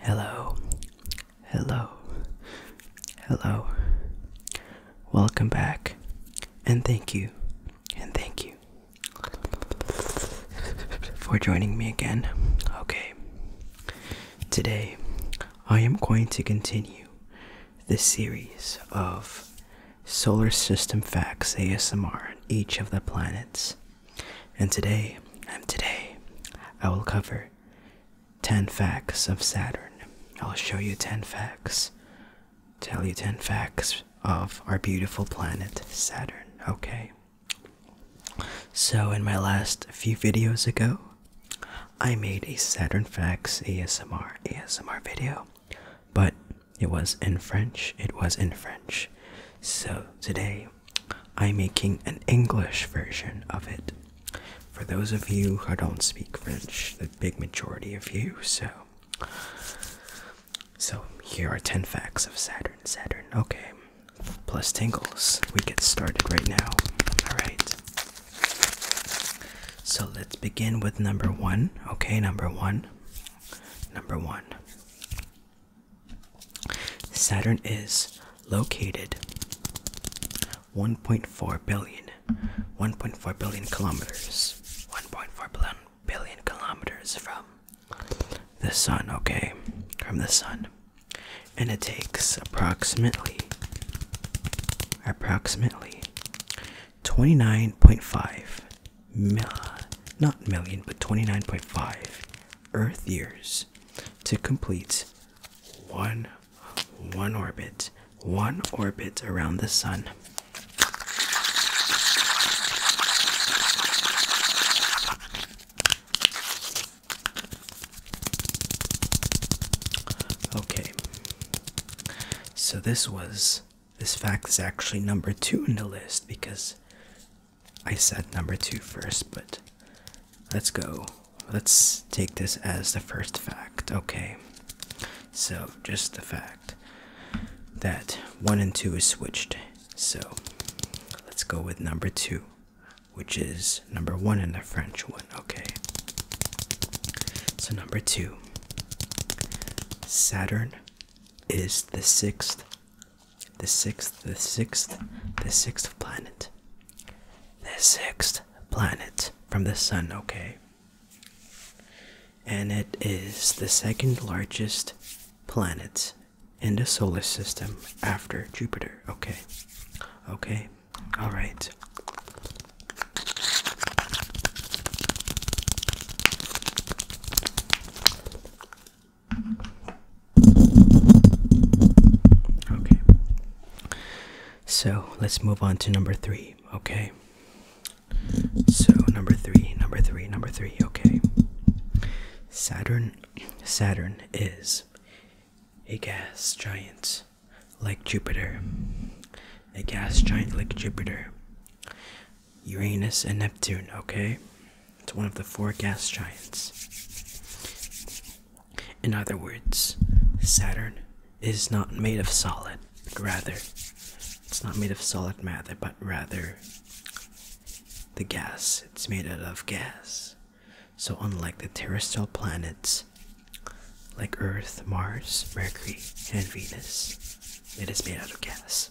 Hello, hello, hello. Welcome back, and thank you, and thank you for joining me again. Okay, today I am going to continue this series of Solar System Facts ASMR on each of the planets. And today, and today, I will cover 10 facts of Saturn. I'll show you 10 facts, tell you 10 facts of our beautiful planet, Saturn, okay? So, in my last few videos ago, I made a Saturn Facts ASMR ASMR video, but it was in French. It was in French. So today I'm making an English version of it. For those of you who don't speak French, the big majority of you, so so here are 10 facts of Saturn. Saturn, okay. Plus tingles. We get started right now. Alright. So let's begin with number one. Okay, number one. Number one Saturn is located 1.4 billion kilometers 1.4 billion kilometers from the sun okay from the sun and it takes approximately approximately 29.5 mil not million, but 29.5 Earth years to complete one one orbit, one orbit around the sun. Okay. So this was this fact is actually number two in the list because I said number two first, but let's go. Let's take this as the first fact. Okay, so just the fact that one and two is switched. So let's go with number two, which is number one in the French one. Okay, so number two Saturn is the sixth, the sixth, the sixth, the sixth planet. The sixth planet from the sun, okay? And it is the second largest planet in the solar system after Jupiter, okay? Okay, alright. Okay. So let's move on to number three, okay? So number three, number three, number three, okay. Saturn Saturn is a gas giant like Jupiter. A gas giant like Jupiter. Uranus and Neptune, okay? It's one of the four gas giants. In other words, Saturn is not made of solid, but rather, it's not made of solid matter, but rather the gas. It's made out of gas. So, unlike the terrestrial planets like Earth, Mars, Mercury, and Venus, it is made out of gas.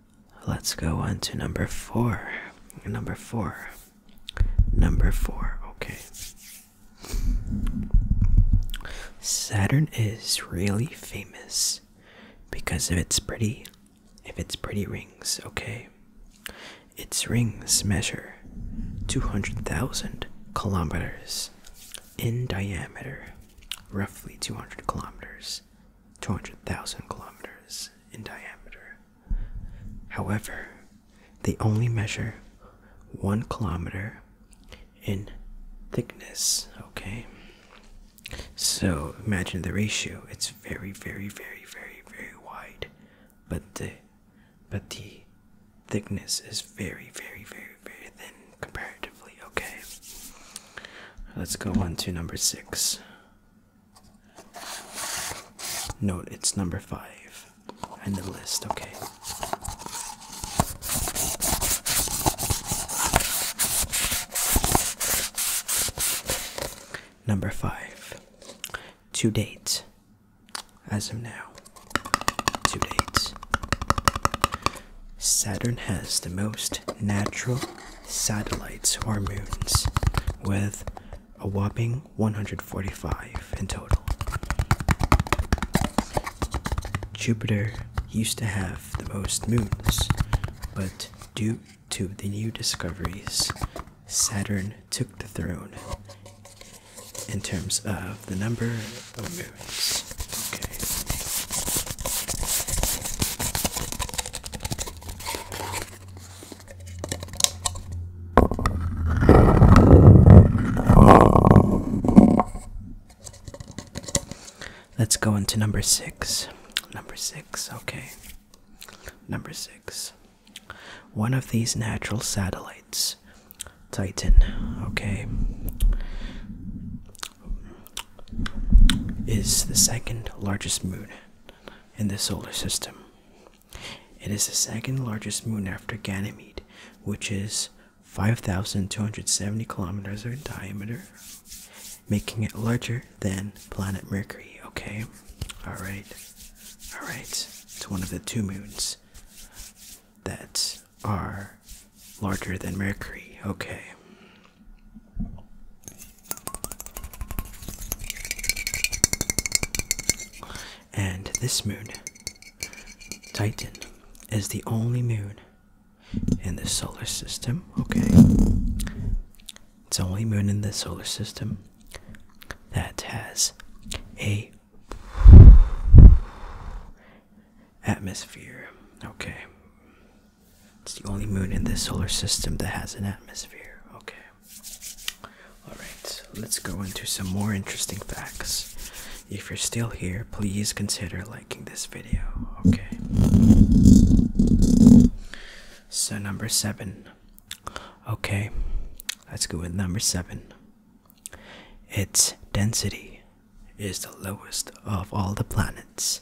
Let's go on to number four. Number four. Number four. Okay. Saturn is really famous because of its pretty if its pretty rings, okay. Its rings measure 200,000 kilometers in diameter, roughly 200 kilometers. 200,000 kilometers in diameter. However, they only measure one kilometer in thickness, okay? So imagine the ratio. It's very, very, very, very, very wide. But the but the thickness is very, very, very, very thin comparatively, okay? Let's go on to number six. Note it's number five in the list, okay. Number five. To date. As of now. To date. Saturn has the most natural satellites or moons, with a whopping 145 in total. Jupiter used to have the most moons, but due to the new discoveries, Saturn took the throne in terms of the number of moons. Let's go into number six. Number six, okay. Number six. One of these natural satellites, Titan, okay, is the second largest moon in the solar system. It is the second largest moon after Ganymede, which is 5,270 kilometers in diameter, making it larger than planet Mercury. Okay, all right, all right. It's one of the two moons that are larger than Mercury. Okay, and this moon, Titan, is the only moon in the solar system. Okay. It's the only moon in the solar system that has a atmosphere. Okay. It's the only moon in this solar system that has an atmosphere. Okay. Alright, let's go into some more interesting facts. If you're still here, please consider liking this video. Okay. So, number seven. Okay, let's go with number seven. Its density is the lowest of all the planets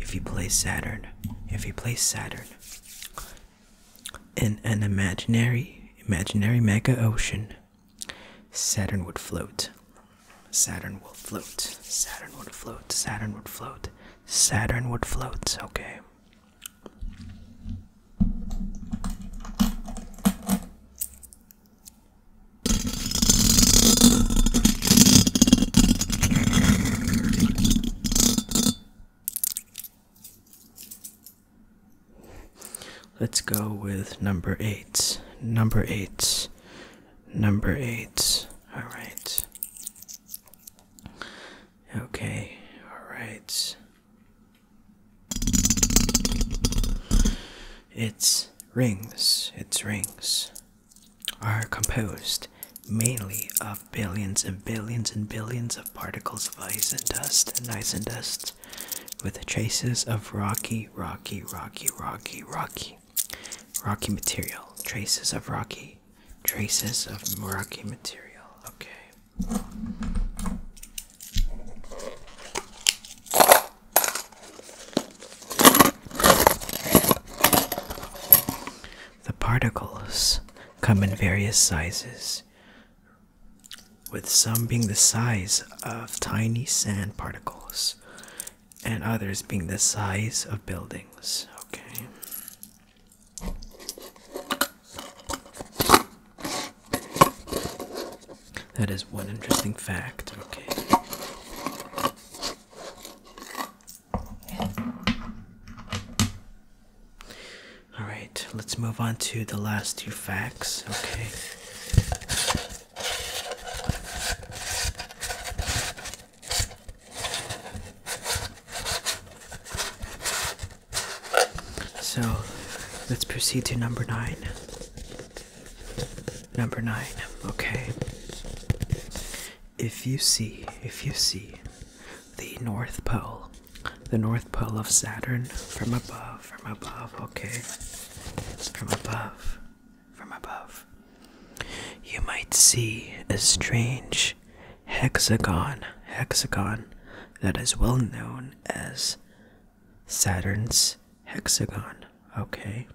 if he play Saturn, if he play Saturn in an imaginary, imaginary mega ocean, Saturn would float. Saturn would float. Saturn would float. Saturn would float. Saturn would float. Okay. Let's go with number eight. Number eight. Number eight. All right. Okay. All right. It's rings. It's rings are composed mainly of billions and billions and billions of particles of ice and dust and ice and dust with traces of rocky, rocky, rocky, rocky, rocky, rocky material. Traces of rocky, traces of rocky material. Okay. The particles come in various sizes, with some being the size of tiny sand particles and others being the size of buildings. Okay. That is one interesting fact. Okay. All right, let's move on to the last two facts, okay? So let's proceed to number nine. Number nine, okay. If you see, if you see the North Pole, the North Pole of Saturn from above, from above, okay? From above, from above. You might see a strange hexagon, hexagon that is well known as Saturn's hexagon, okay?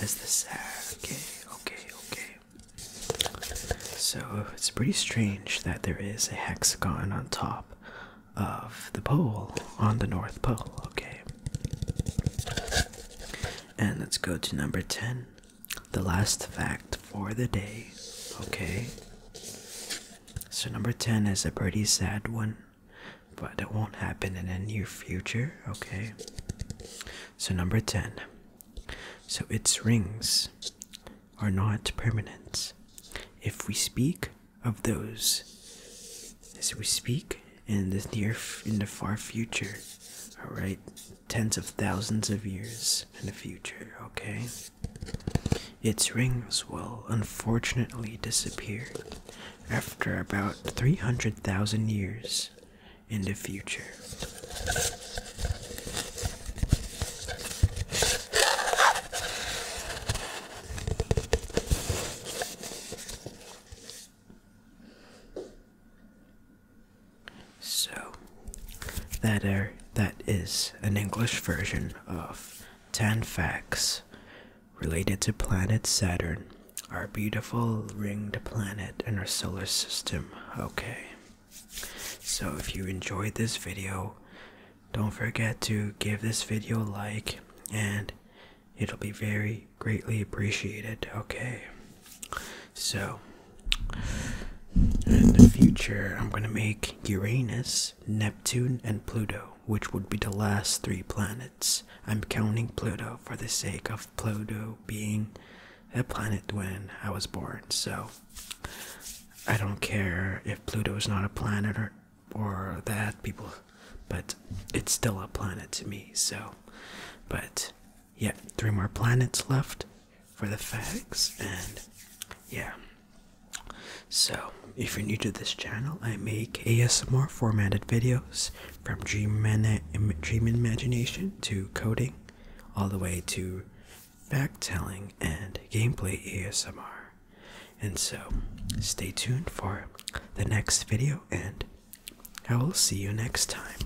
As the sad. Okay, okay, okay. So it's pretty strange that there is a hexagon on top of the pole on the North Pole. Okay. And let's go to number 10. The last fact for the day. Okay. So number 10 is a pretty sad one but it won't happen in the near future, okay? So, number 10. So, its rings are not permanent. If we speak of those, as we speak in the near, in the far future, all right, tens of thousands of years in the future, okay? Its rings will unfortunately disappear after about 300,000 years in the future. So, that are that is an English version of 10 facts related to planet Saturn, our beautiful ringed planet in our solar system. Okay, so if you enjoyed this video, don't forget to give this video a like and it'll be very greatly appreciated. Okay, so in the future, I'm gonna make Uranus, Neptune, and Pluto, which would be the last three planets. I'm counting Pluto for the sake of Pluto being a planet when I was born, so I don't care if Pluto is not a planet or, or that, people, but it's still a planet to me, so. But yeah, three more planets left for the facts, and yeah. So, if you're new to this channel, I make ASMR formatted videos from dream, dream imagination to coding, all the way to fact telling and gameplay ASMR. And so, stay tuned for the next video, and I will see you next time.